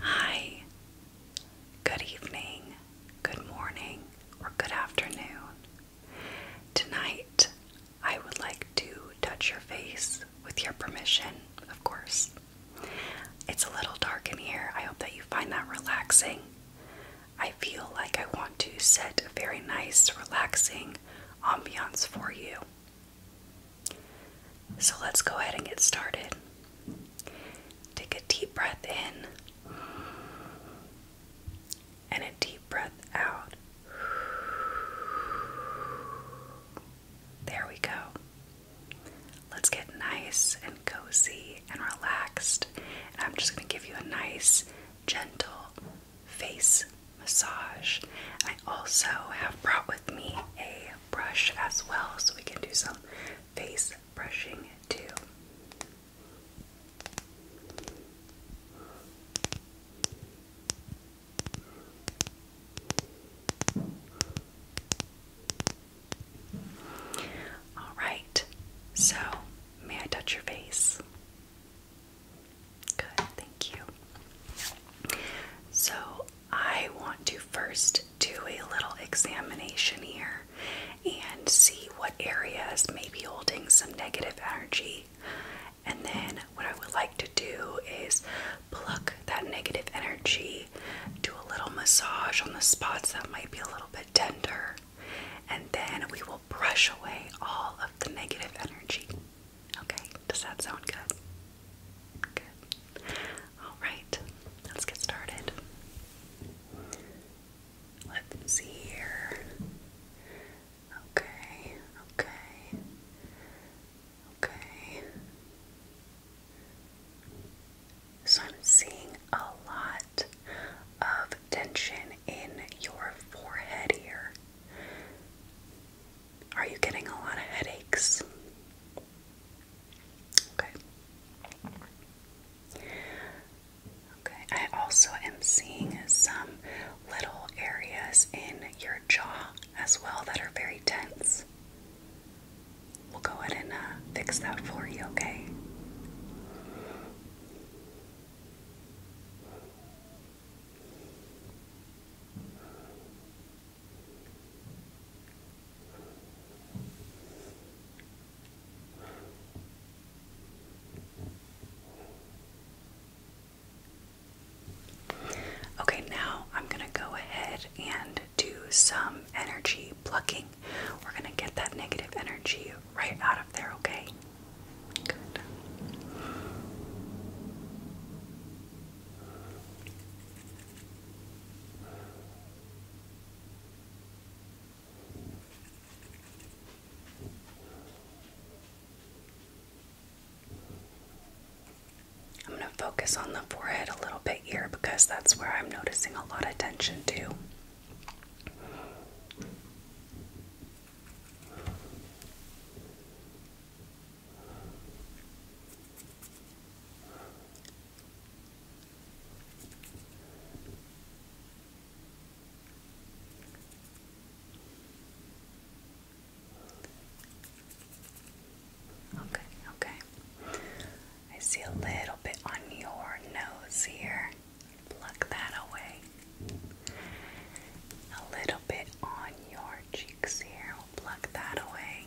Hi, good evening, good morning, or good afternoon. Tonight, I would like to touch your face with your permission, of course. It's a little dark in here. I hope that you find that relaxing. I feel like I want to set a very nice, relaxing ambiance for you. So let's go ahead and get started. Take a deep breath in and a deep breath out. There we go. Let's get nice and cozy and relaxed. And I'm just going to give you a nice, gentle face massage. I also have brought with me a brush as well, so we can do some face brushing too. All right, so may I touch your face? Good, thank you. So I want to first do a little examination here and see what areas may be holding some negative energy. And then, what I would like to do is pluck that negative energy, do a little massage on the spots that might be a little bit tender, and then we will brush away all of the negative energy. Okay, does that sound good? Good. Alright, let's get started. Let's see here. Okay, okay, okay. So I'm seeing a lot of tension in your forehead here. Are you getting a lot of headaches? Okay. Okay, I also am seeing some little areas in your jaw as well that are very tense. We'll go ahead and uh, fix that for you, okay? Okay, now I'm going to go ahead and do some energy plucking. We're going to get that negative energy right out of there, okay? Good. I'm going to focus on the forehead a little bit here because that's where I'm noticing a lot of tension too. Okay, okay. I see a little bit on your nose here. Pluck that away. A little bit on your cheeks here pluck that away.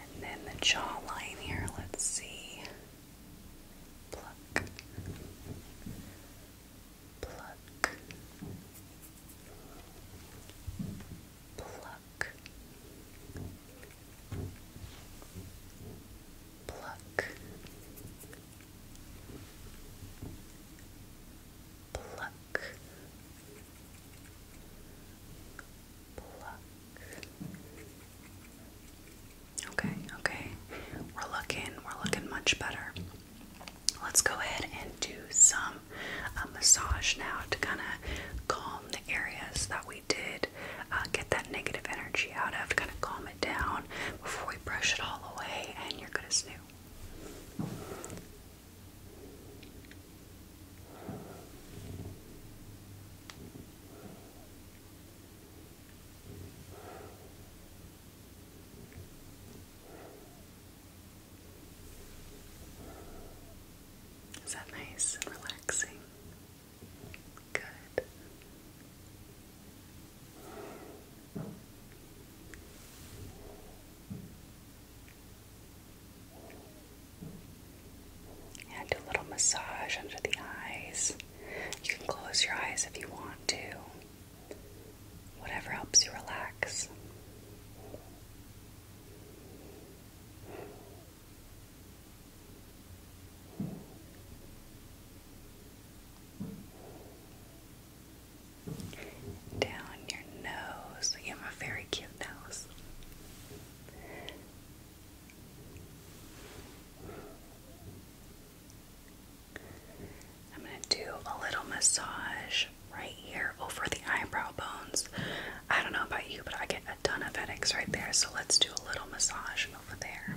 And then the jawline here, let's see. Pluck. Pluck. Pluck. Pluck pluck, pluck. Okay, okay. We're looking, we're looking much better. Let's go ahead and do some uh, massage now to kind of calm the areas that we did uh, get that negative energy out of, kind of calm it down before we brush it all away, and you're gonna new. Is that nice relaxing? Good. And do a little massage under the eyes. You can close your eyes if you want to. Whatever helps you relax down your nose. You have a very cute nose. I'm going to do a little massage right here over the eyebrow bones. I don't know about you, but I get a ton of headaches right there, so let's do a little massage over there.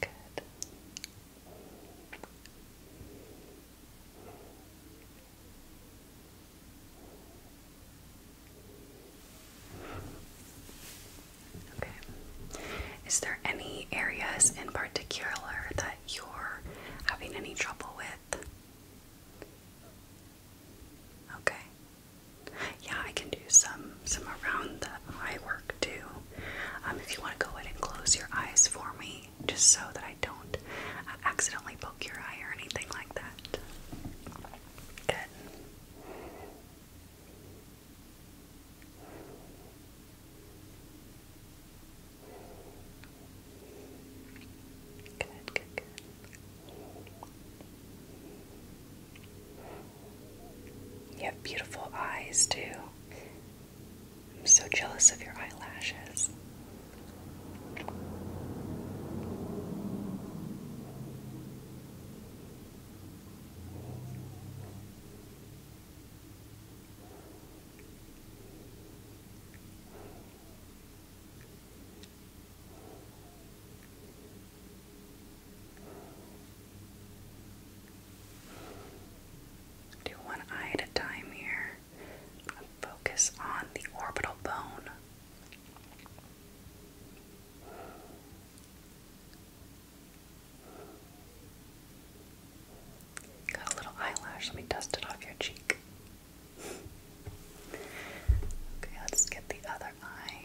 Good. Okay. Is there any areas in particular that you're having any trouble with? Okay. Yeah, I can do some some around the eye work too. Um, if you want to go ahead and close your eyes for me, just so that I don't uh, accidentally poke your eye or anything like that. Good, good, good. You have beautiful eyes, too. I'm so jealous of your eyelashes. Do one eye at a time here. focus on the orbital bone. Got a little eyelash, let me dust it off your cheek. okay, let's get the other eye.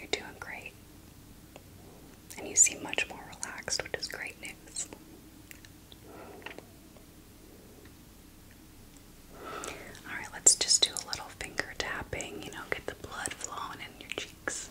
You're doing great. And you seem much more relaxed, which is great news. Alright, let's just do a little finger tapping, you know, get the blood flowing in your cheeks.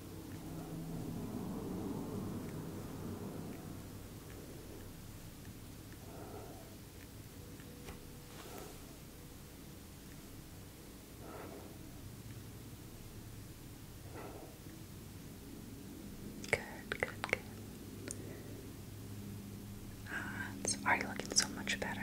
Good, good, good. it's already looking so much better.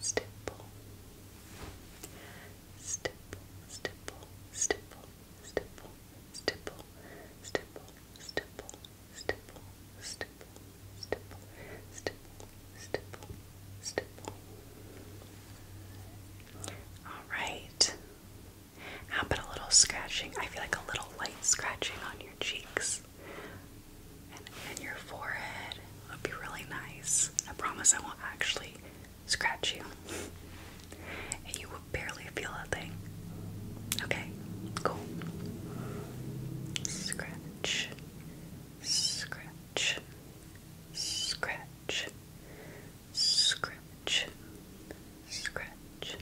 stipple, stipple, stipple, stipple, stipple, stipple, stipple, stipple, stipple, stipple, stipple, stipple, stipple, All right. How about a little scratching? I feel like a little light scratching on your cheeks and, your forehead would be really nice. I promise I won't actually scratch you. and you will barely feel a thing. Okay, cool. scratch, scratch, scratch, scratch, scratch, scratch,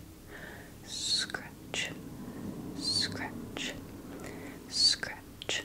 scratch,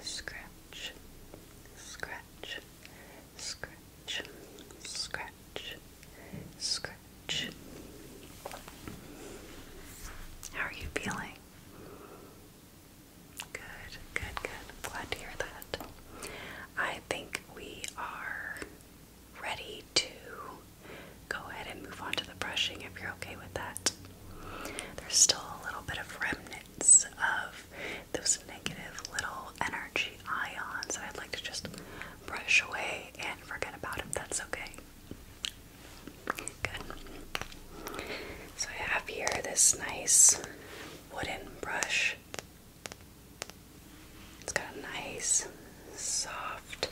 scratch, scratch, scratch, scratch, scratch, How are you feeling? Good, good, good. glad to hear that. I think we are ready to go ahead and move on to the brushing if you're okay with that. There's still a little bit of remnants of those negative little energy ions that I'd like to just brush away and forget about if that's okay. Good. So I have here this nice wooden brush. It's got a nice, soft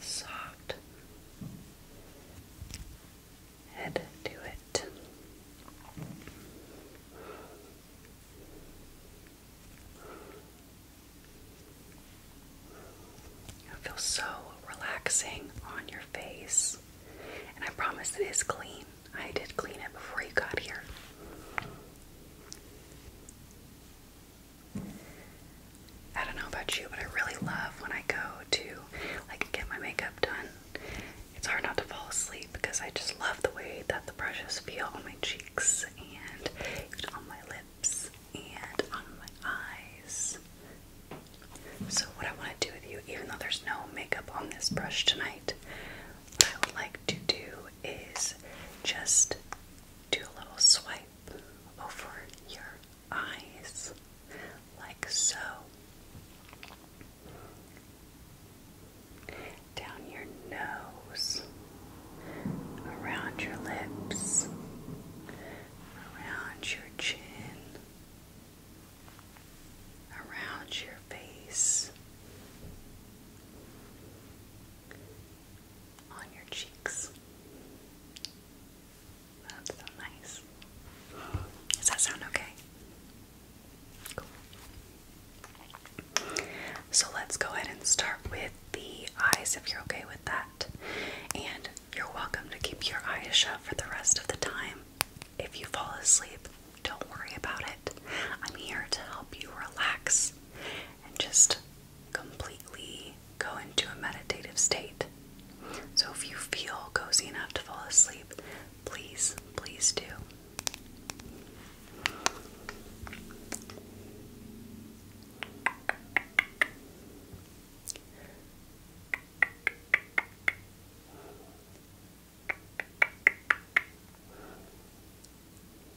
soft head to it. It feels so relaxing on your face, and I promise it is clean. I did clean it before you got here. I don't know about you, but I really love when I go to like get my makeup done. It's hard not to fall asleep because I just love the way that the brushes feel on my cheeks and on my lips and on my eyes. So what I want to do with you, even though there's no makeup on this brush tonight, what I would like to do is just do a little swipe over your eyes like so. Down your nose, around your lips, around your chin, around your face, on your cheeks. That's so nice. Does that sound okay? Cool. So let's go ahead and start with the eyes if you're okay with that. And you're welcome to keep your eyes shut for the rest of the time. If you fall asleep, don't worry about it. I'm here to help you relax and just completely go into a meditative state. So if you feel cozy enough to fall asleep, please, please do.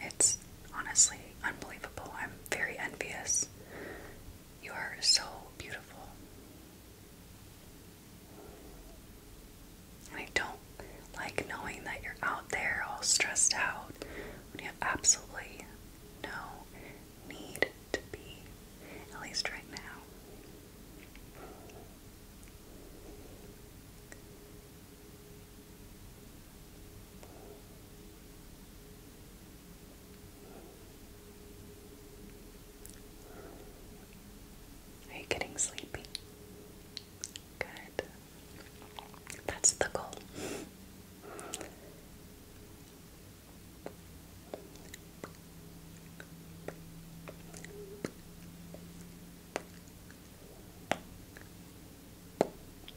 It's honestly unbelievable. I'm very envious. You are so beautiful. I don't like knowing that you're out there all stressed out when you have absolutely no need to be, at least right now. Are you getting sleepy? Good. That's the goal.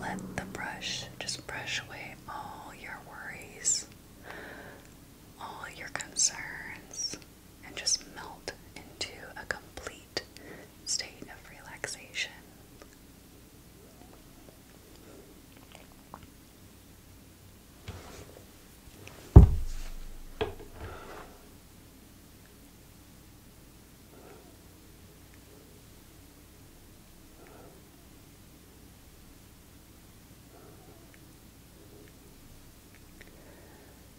Let the brush just brush away all your worries, all your concerns and just melt into a complete state of relaxation.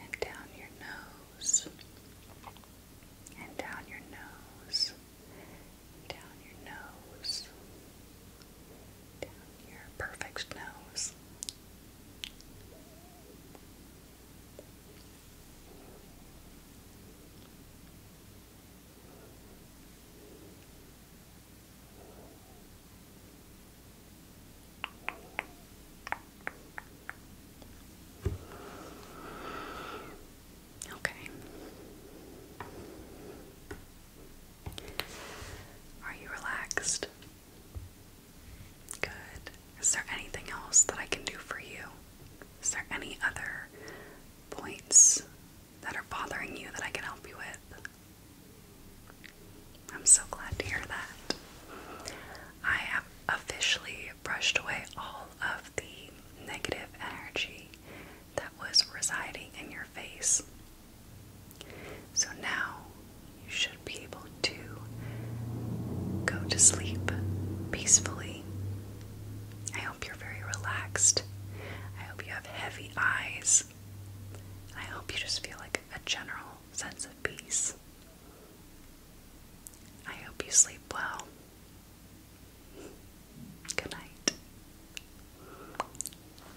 and down your nose, and down your nose, down your nose, down your perfect nose. Okay. Are you relaxed? Good. Is there anything else that I can do for you? Is there any other points that are bothering you that I can help you with? I'm so glad to hear that. I have officially brushed away all of the negative energy that was residing in your face. So now you should be able to go to sleep peacefully. I hope you're very relaxed. I hope you have heavy eyes. I hope you just feel like a general sense of peace. I hope you sleep well. Good night.